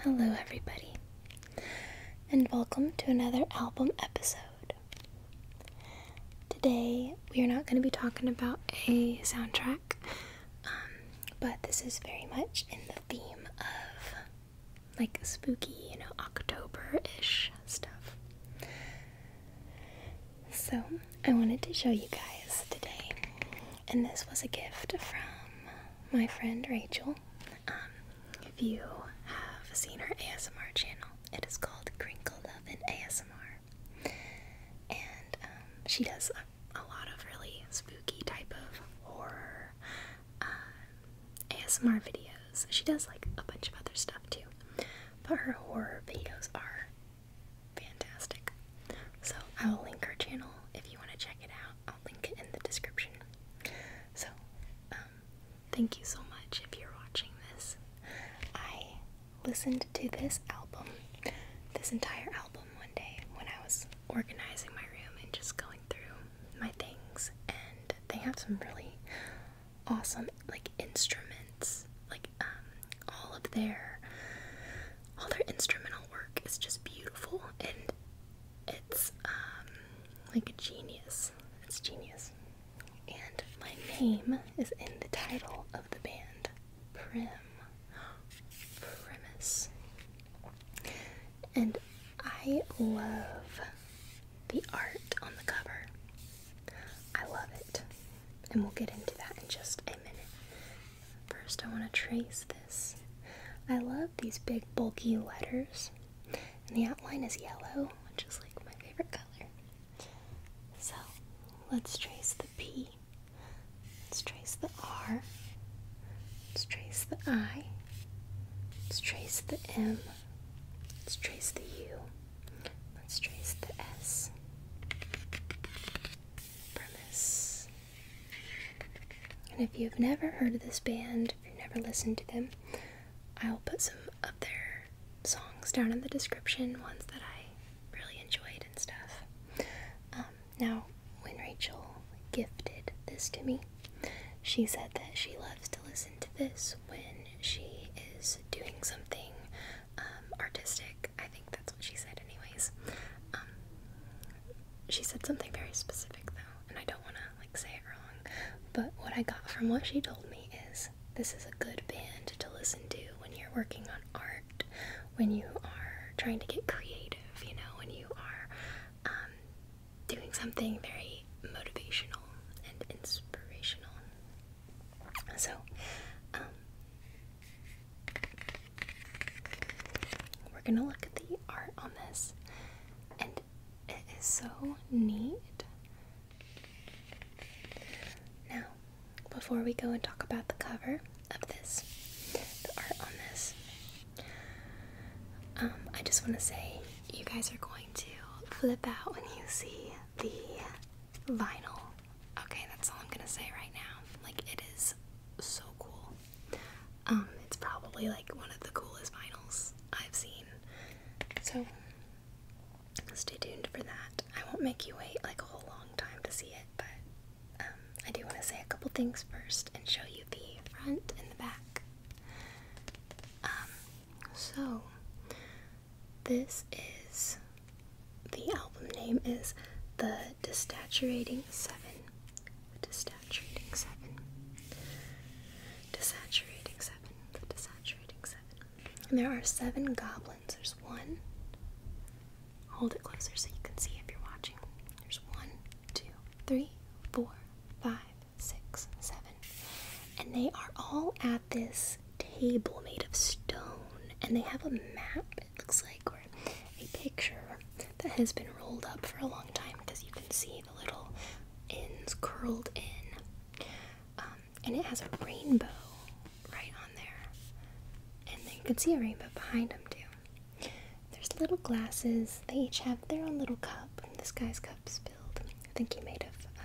Hello, everybody, and welcome to another album episode. Today, we are not going to be talking about a soundtrack, um, but this is very much in the theme of like spooky, you know, October ish stuff. So, I wanted to show you guys today, and this was a gift from my friend Rachel. Um, if you have seen her ASMR channel, it is called Crinkle Love and ASMR, and um, she does a, lot of really spooky type of horror um, ASMR videos. She does like a bunch of other stuff too but her horror videos are fantastic. So I will link her channel if you want to check it out. I'll link it in the description. So um, thank you so much if you're watching this. I listened to this album, this entire album, one day when I was organizing my room and just going through my things, and they have some really awesome like instruments like um, all of their all their instrumental work is just beautiful and it's um like a genius it's genius and my name is in the title of the band prim premise and i love the art on the cover I love it. And we'll get into that in just a minute. First, I want to trace this. I love these big bulky letters. And the outline is yellow, which is like my favorite color. So let's trace the P. Let's trace the R. Let's trace the I. Let's trace the M. Let's trace the U. Let's trace the S. Premise. And if you've never heard of this band, if you've never listened to them, I'll put some of their songs down in the description, ones that I really enjoyed and stuff. Um, now, when Rachel gifted this to me, she said that she loves to listen to this when she is doing something um, artistic. I think that's what she said, anyways. Um, she said something very specific though, and I don't want to like say it wrong. But what I got from what she told me is this is a good band to listen to when you're working on art, when you are trying to get creative. You know, when you are um, doing something very motivational and inspirational. So, um, we're gonna look at the art on this, and it is so neat. Now, before we go and talk about the cover of this, the art on this, um, I just want to say you guys are going to flip out when you see the vinyl. Okay, that's all I'm gonna say right now. Like, it is so cool. Um, it's probably like one of the coolest vinyls I've seen. So, stay tuned for that. I won't make you wait like a whole long time to see it, but um, I do want to say a couple things first and show you the front and the back. Um, so, this is the album name is The Desaturating Seven. The Desaturating Seven. Desaturating Seven. The Seven. there are seven goblins. There's one. Hold it closer so you can see if you're watching. There's one, two, three, four, five, six, seven. And they are all at this table made of stone, and they have a map, it looks like, or a picture that has been rolled up for a long time because you can see the little ends curled in. Um, and it has a rainbow right on there. And they you can see a rainbow behind them, too. There's little glasses, they each have their own little cup. This guy's cup's I think he might have um,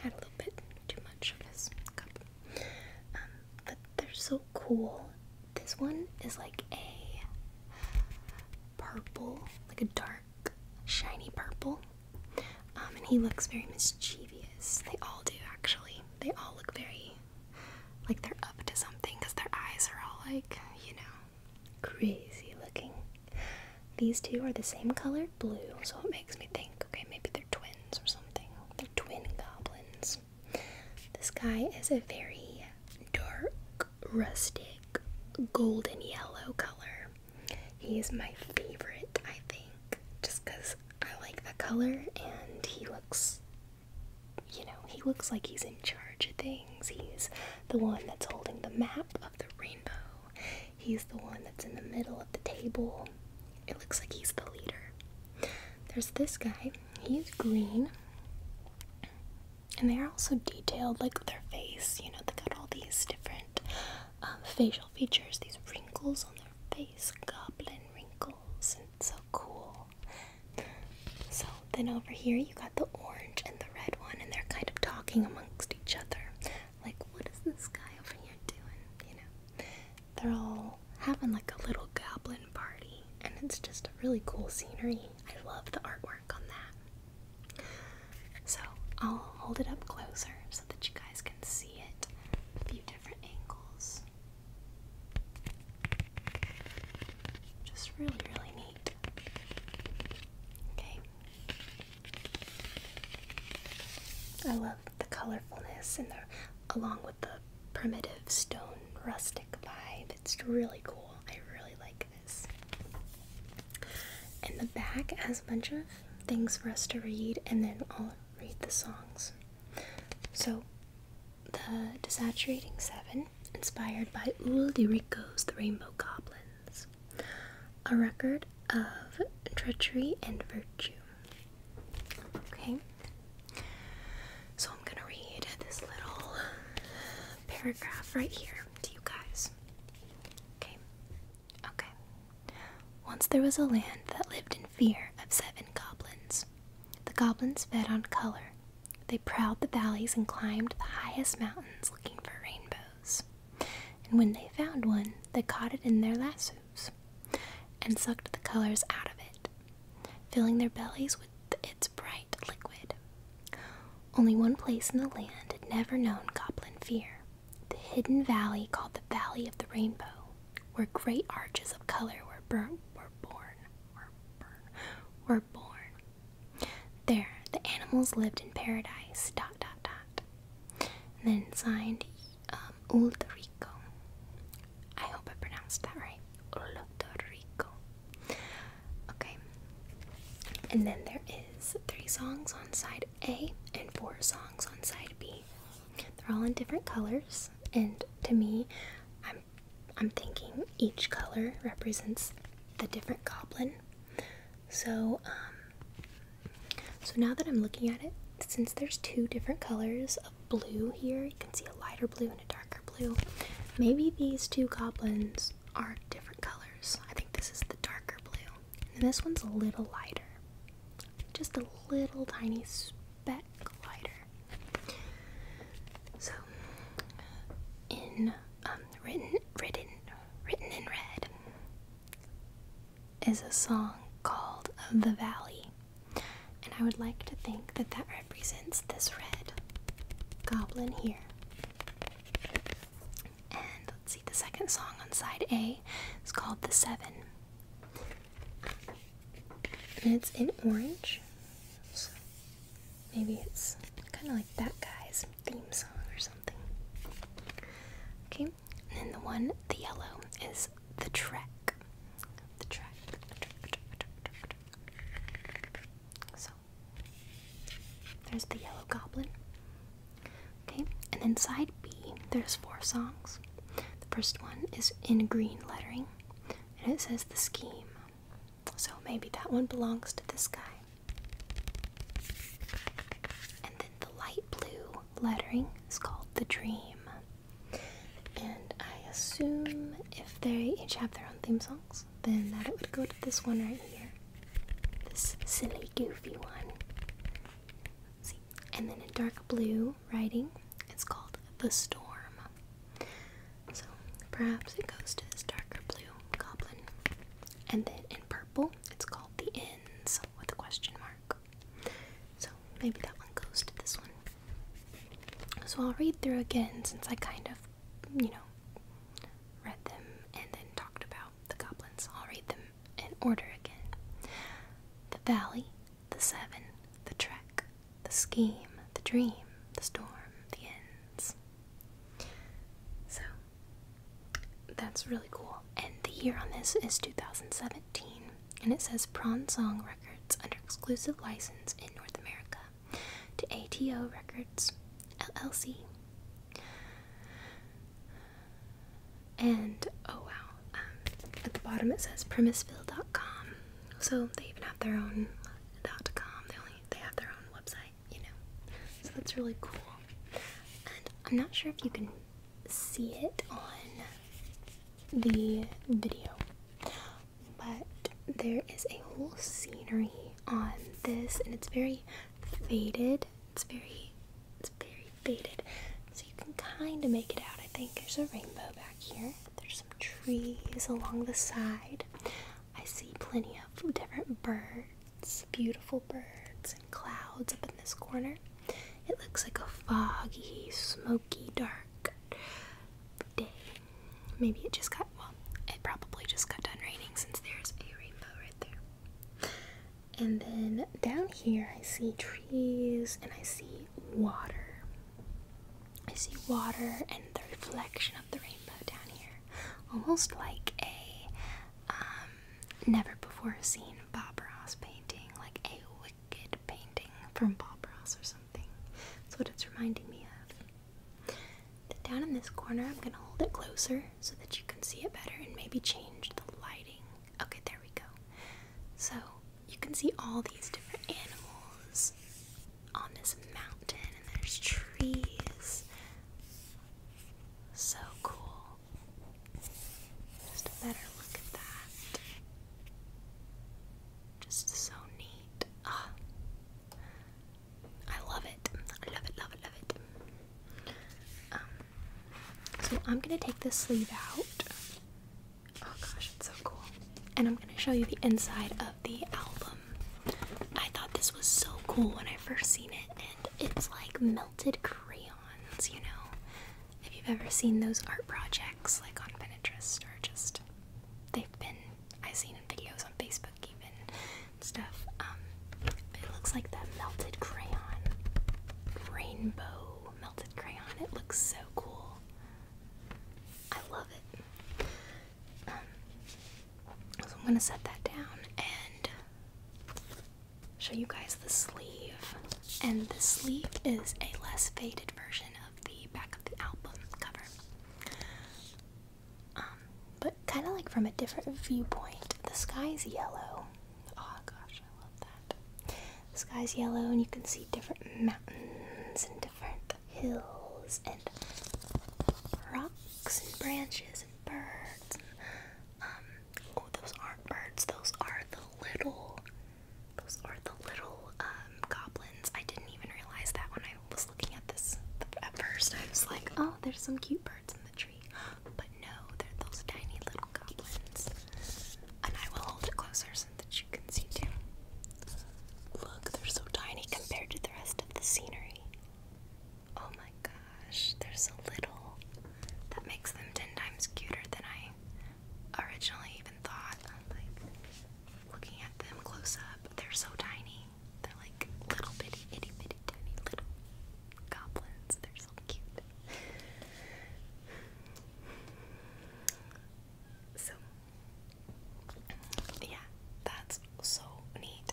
had a little bit too much of his cup. Um, but they're so cool. This one is like a purple, like a dark, shiny purple. Um, and he looks very mischievous. They all do, actually. They all look very like they're up to something because their eyes are all like, you know, crazy looking. These two are the same color, blue, so it makes me think, okay, maybe they're twins or something. They're twin goblins. This guy is a very dark, rustic, golden yellow color. He is my favorite, I think, just because I like the color and he looks, you know, he looks like he's in charge of things. He's the one that's holding the map of the rainbow. He's the one that's in the middle of the table. It looks like he's the leader. There's this guy. He's green. And they are also detailed, like their face. You know, they got all these different um, facial features, these wrinkles on their face, goblin wrinkles, and so cool. So then over here, you got the orange and the red one, and they're kind of talking amongst each other like what is this guy over here doing? You know, they're all having like a little goblin party, and it's just a really cool scenery. I love the artwork on that. So I'll hold it up closer so that you guys can see it a few different angles. Just really, really neat. Okay, I love the colorfulness and the along with the primitive stone rustic vibe. It's really cool. I really like this. And the back has a bunch of things for us to read and then I'll read the songs. So the Desaturating Seven, inspired by Ulrico's The Rainbow Goblins. A record of treachery and virtue. Okay, so I'm gonna read this little paragraph right here to you guys. Okay, okay. Once there was a land that lived in fear of seven goblins. The goblins fed on color. They prowled the valleys and climbed the highest mountains looking for rainbows. And when they found one, they caught it in their lasso and sucked the colors out of it, filling their bellies with its bright liquid. Only one place in the land had never known goblin fear the hidden valley called the Valley of the Rainbow, where great arches of color were, bur- were born. Were, born. There, the animals lived in paradise. Dot dot dot. then signed um, I hope I pronounced that right. Ulta Okay. And then there is three songs on side A and four songs on side B. They're all in different colors, and to me, I'm I'm thinking each color represents the different goblin. So um, so now that I'm looking at it, since there's two different colors of blue here, you can see a lighter blue and a darker blue. Maybe these two goblins are different colors. I think this is the darker blue, and this one's a little lighter. Just a little tiny speck lighter. So, in um, written, written, written in red, is a song called The Valley. And I would like to think that that represents this red goblin here. And let's see, the second song on side A is called The Seven. And it's in orange. So maybe it's kind of like that guy's theme song or something. Okay, and the one, the yellow, is the Trek. So there's the Yellow Goblin. Okay, and then side B, there's four songs. The first one is in green lettering, and it says the scheme. So maybe that one belongs to this guy. And then the light blue lettering is called The Dream. And I assume if they each have their own theme songs, then that it would go to this one right here. This silly, goofy one. see. And then in dark blue writing, it's called The Storm. So perhaps it goes to this darker blue goblin. And then in purple, it's called The ends with a question mark. So maybe that one goes to this one. So I'll read through again since I kind of, you know, read them and then talked about the goblins. I'll read them in order again. The valley, the seven, the trek, the scheme, the dream, the storm, the ends. So that's really cool and the year on this is 2017, and it says Prawn Song Records under exclusive license in North America to ATO Records LLC. And oh wow, um, at the bottom it says Premiseville.com. So they even have their own dot com. They only they have their own website, you know. So that's really cool. I'm not sure if you can see it on the video. But there is a whole scenery on this and it's very faded. It's very it's very faded. So you can kinda make it out, I think. There's a rainbow back here. There's some trees along the side. I see plenty of different birds, beautiful birds and clouds up in this corner. It looks like a foggy, smoky, dark day. Maybe it just got, well, it probably just got done raining since there's a rainbow right there. And then down here, I see trees and I see water. I see water and the reflection of the rainbow down here. Almost like a, um, never before seen Bob Ross painting, like a wicked painting from Bob Ross or something. That's what it's reminding me of. down in this corner, I'm gonna hold it closer so that you can see it better and maybe change the lighting. Okay, there we go. So you can see all these different animals on this mountain, and there's trees. So cool. Just a better look at that. Just so neat. Ah, I love it. I love it. Love it. Love it. Um, so I'm gonna take this sleeve out. Oh gosh, it's so cool. And I'm gonna show you the inside of the album. I thought this was so cool when I first seen it, and it's like melted crayon you know. If you've ever seen those art projects like on Pinterest or just they've been I've seen in videos on Facebook even stuff. Um, it looks like that melted crayon. Rainbow melted crayon. It looks so cool. I love it. Um, so I'm gonna set that down and show you guys the sleeve. And the sleeve is a less faded version of the back of the album cover. Um, but kind of like from a different viewpoint. The sky's yellow. Oh gosh, I love that. The sky's yellow, and you can see different mountains and different hills and rocks and branches and birds um, Oh, those aren't birds. Those are the little. Those are the little um, goblins. I didn't even realize that when I was looking at this at first. I was like, oh, there's some cute birds in the tree, but no, they're those tiny little goblins. And I will hold it closer so that you can see too. Look, they're so tiny compared to the rest of the scenery. Oh my gosh, they're so little. That makes them ten times cuter than I originally even thought. Like looking at them close up, they're so tiny. They're like little bitty, itty bitty, tiny little goblins. They're so cute. So, yeah, that's so neat.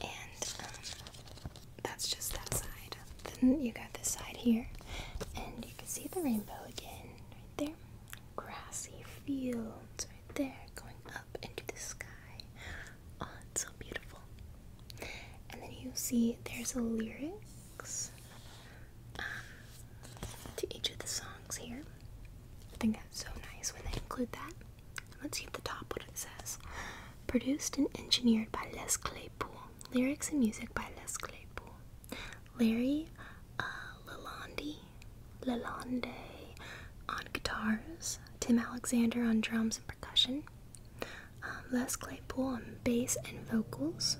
And um, that's just that side. Then you got this side here, and you can see the rainbow again right there. Grassy fields right there going up into the sky. Oh, it's so beautiful. And then you see there's a lyrics uh, to each of the songs here. I think that's so nice when they include that. Let's see at the top what it says. Produced and engineered by Les Claypool. Lyrics and music by Les Claypool. Larry uh, Lalonde, on guitars, Tim Alexander on drums and percussion, um, Les Claypool on bass and vocals.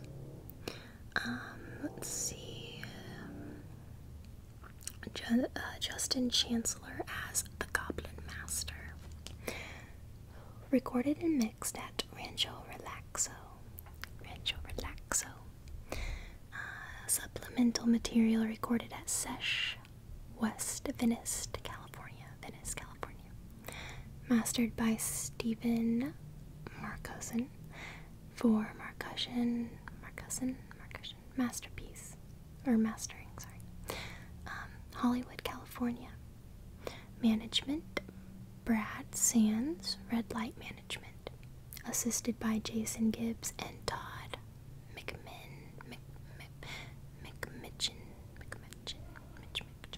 Um, let's see, um, uh, Justin Chancellor as the Goblin Master. Recorded and mixed at Rancho Relaxo. Rancho Relaxo. Uh, supplemental material recorded at Sesh West Venice, California. Venice, California. Mastered by Stephen Marcosin for Marcussion. Marcussion. Marcussion. Masterpiece. Or mastering, sorry. Um, Hollywood, California. Management Brad Sands, Red Light Management, assisted by Jason Gibbs and Todd McMinn, Mc, McMitchin, McMitchin, McMitchin.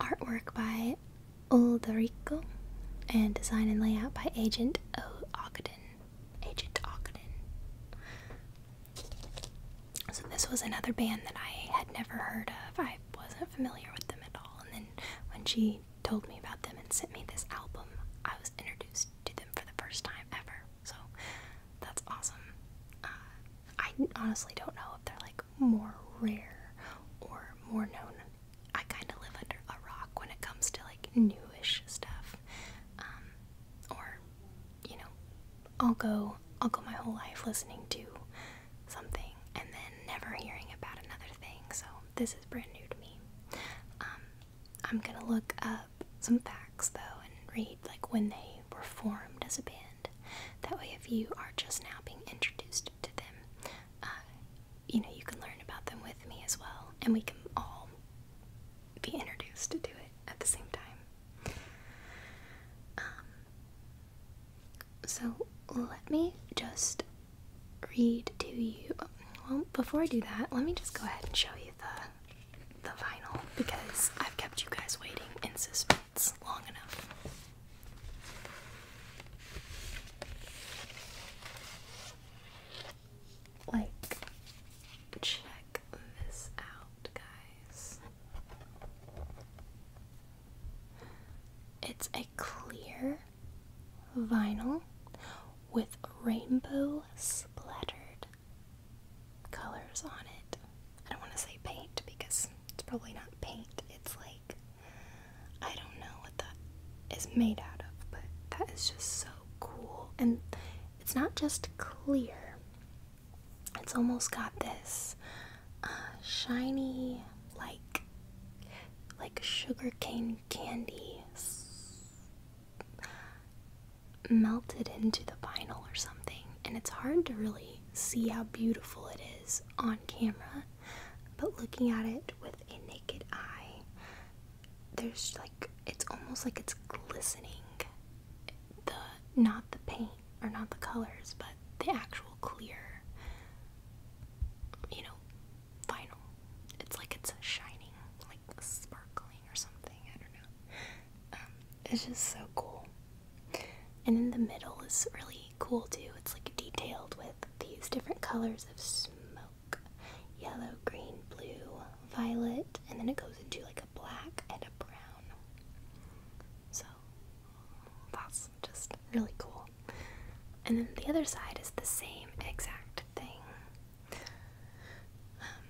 Artwork by Ulderico and design and layout by Agent Ogden. Agent Ogden. So this was another band that I had never heard of. I wasn't familiar with them at all. And then when she told me about them and sent me this album, I was introduced to them for the first time ever. So that's awesome. Uh, I honestly don't know if they're like more rare or more known. I kind of live under a rock when it comes to like newish stuff. Um, or, you know, I'll go I'll go my whole life listening to something and then never hearing about another thing. So this is brand new to me. Um, I'm gonna look up some facts though and read like when they were formed as a band. That way, if you are just now being introduced to them, uh, you know you can learn about them with me as well, and we can all be introduced to it at the same time. Um, so let me just read to you. Well, before I do that, let me just go ahead and show you the the vinyl because I've kept you guys waiting in suspense long enough. Like, check this out, guys. It's a clear vinyl with rainbow splattered colors on it. I don't want to say paint because it's probably not paint. It's like, I don't know what that is made out of, but that is just so cool. And it's not just clear, it's almost got this shiny like like sugar sugarcane candy melted into the vinyl or something and it's hard to really see how beautiful it is on camera but looking at it with a naked eye there's like it's almost like it's glistening the not the paint are not the colors, but the actual clear, you know, vinyl. It's like it's shining, like sparkling or something. I don't know. Um, it's just so cool. And in the middle is really cool too. It's like detailed with these different colors of smoke yellow, green, blue, violet, and then it goes into like a black and a brown. So that's just really cool. And then the other side is the same exact thing. Um,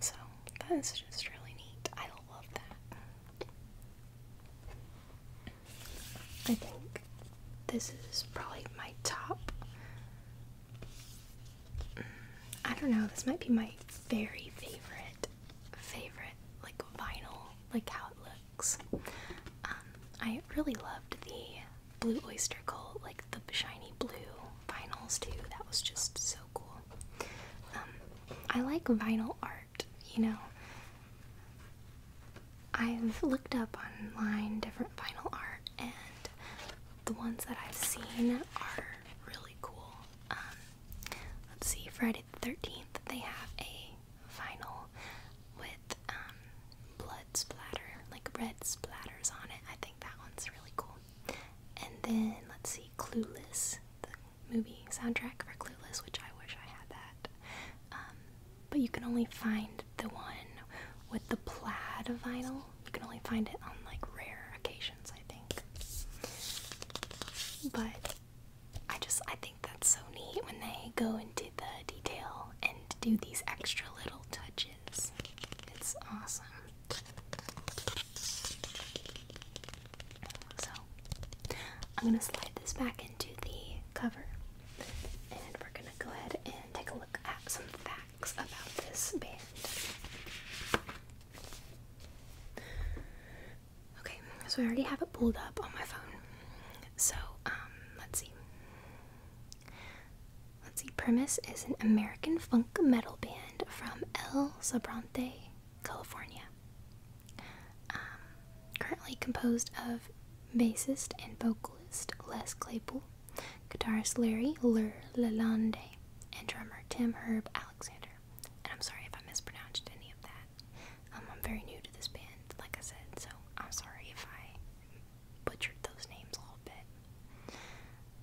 so that is just really neat. I love that. I think this is probably my top. Mm, I don't know, this might be my very favorite favorite like vinyl, like how it looks. Um, I really loved the Blue Oyster Cult, like the shiny blue vinyls too. That was just so cool. Um, I like vinyl art, you know. I've looked up online different vinyl art, and the ones that I've seen are really cool. Um, let's see, Fred 13th, they have a vinyl with um, blood splatter, like red splatters on it. I think that one's really cool. And then, let's see, Clueless, the movie soundtrack for Clueless, which I wish I had that. Um, but you can only find the one with the plaid vinyl. You can only find it on like rare occasions, I think. But I just I think that's so neat when they go into the detail and do these extra little touches. It's awesome. So I'm gonna slide this back into the cover and we're gonna go ahead and take a look at some facts about this band. Okay, so I already have it pulled up on my phone. So, um, let's see. Let's see. Premise is an American funk metal band from El Sobrante, California. Um, currently composed of bassist and vocalist Les Claypool, guitarist Larry Lur and drummer Tim Herb Alexander. And I'm sorry if I mispronounced any of that. Um, I'm very new to this band, like I said, so I'm sorry if I butchered those names a little bit.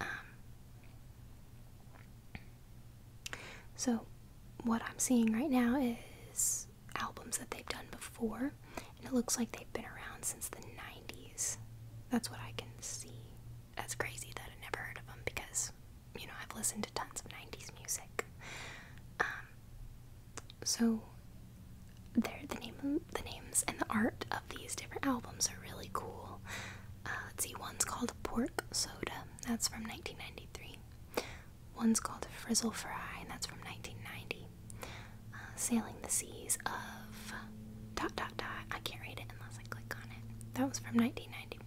Um, so, what I'm seeing right now is albums that they've done before, and it looks like they've been around since the 90s. That's what I can see. That's crazy that I never heard of them because you know, I've listened to tons of 90s music. Um, so there the name the names and the art of these different albums are really cool. Uh, let's see, one's called Pork Soda, that's from 1993. One's called Frizzle Fry, and that's from 1990. Uh, Sailing the Seas of dot dot dot. I can't read it unless I click on it. That was from 1991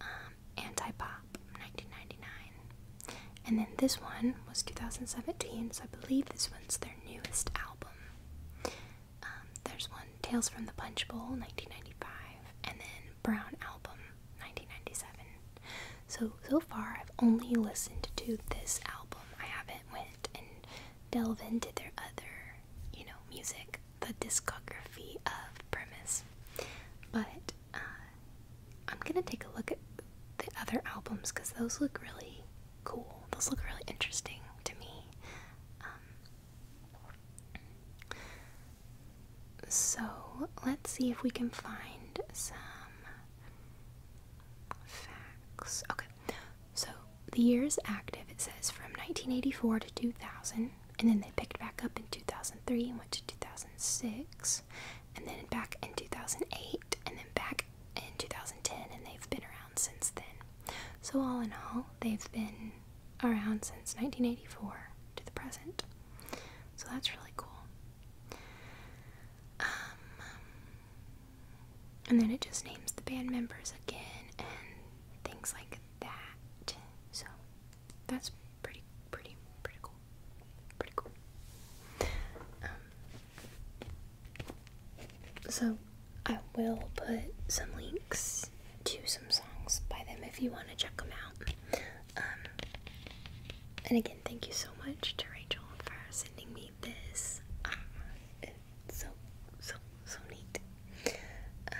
um, Anti Pop 1999. And then this one was 2017, so I believe this one's their newest album. Um, there's one, Tales from the Punch Bowl 1995, and then Brown Album 1997. So, so far, I've only listened to this album. I haven't went and delve into their other, you know, music, the discography of Premise. But uh, I'm gonna take a look at the other albums because those look really cool. Those look really interesting to me. Um, so let's see if we can find some facts. Okay, so the year is active it says from 1984 to 2000 and then they picked back up in 2003 and went to 2006 and then back in 2008 and then back in 2010 and they've been around since then so all in all they've been around since 1984 to the present so that's really cool um, and then it just names the band members again and things like that so that's pretty, pretty, pretty cool. Pretty cool. Um, so I will put some links to some songs by them if you want to check them out. Um, and again, thank you so much to Rachel for sending me this. Um, it's so, so, so neat. Uh,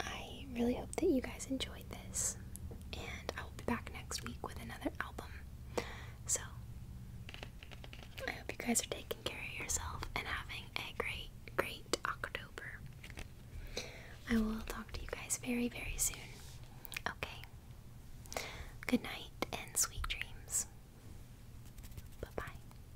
I really hope that you guys enjoyed this, and I will be back next week with another album. So, I hope you guys are taking care of yourself and having a great, great October. I will talk to you guys very, very soon. Okay. Good night and sweet dreams. Bye bye.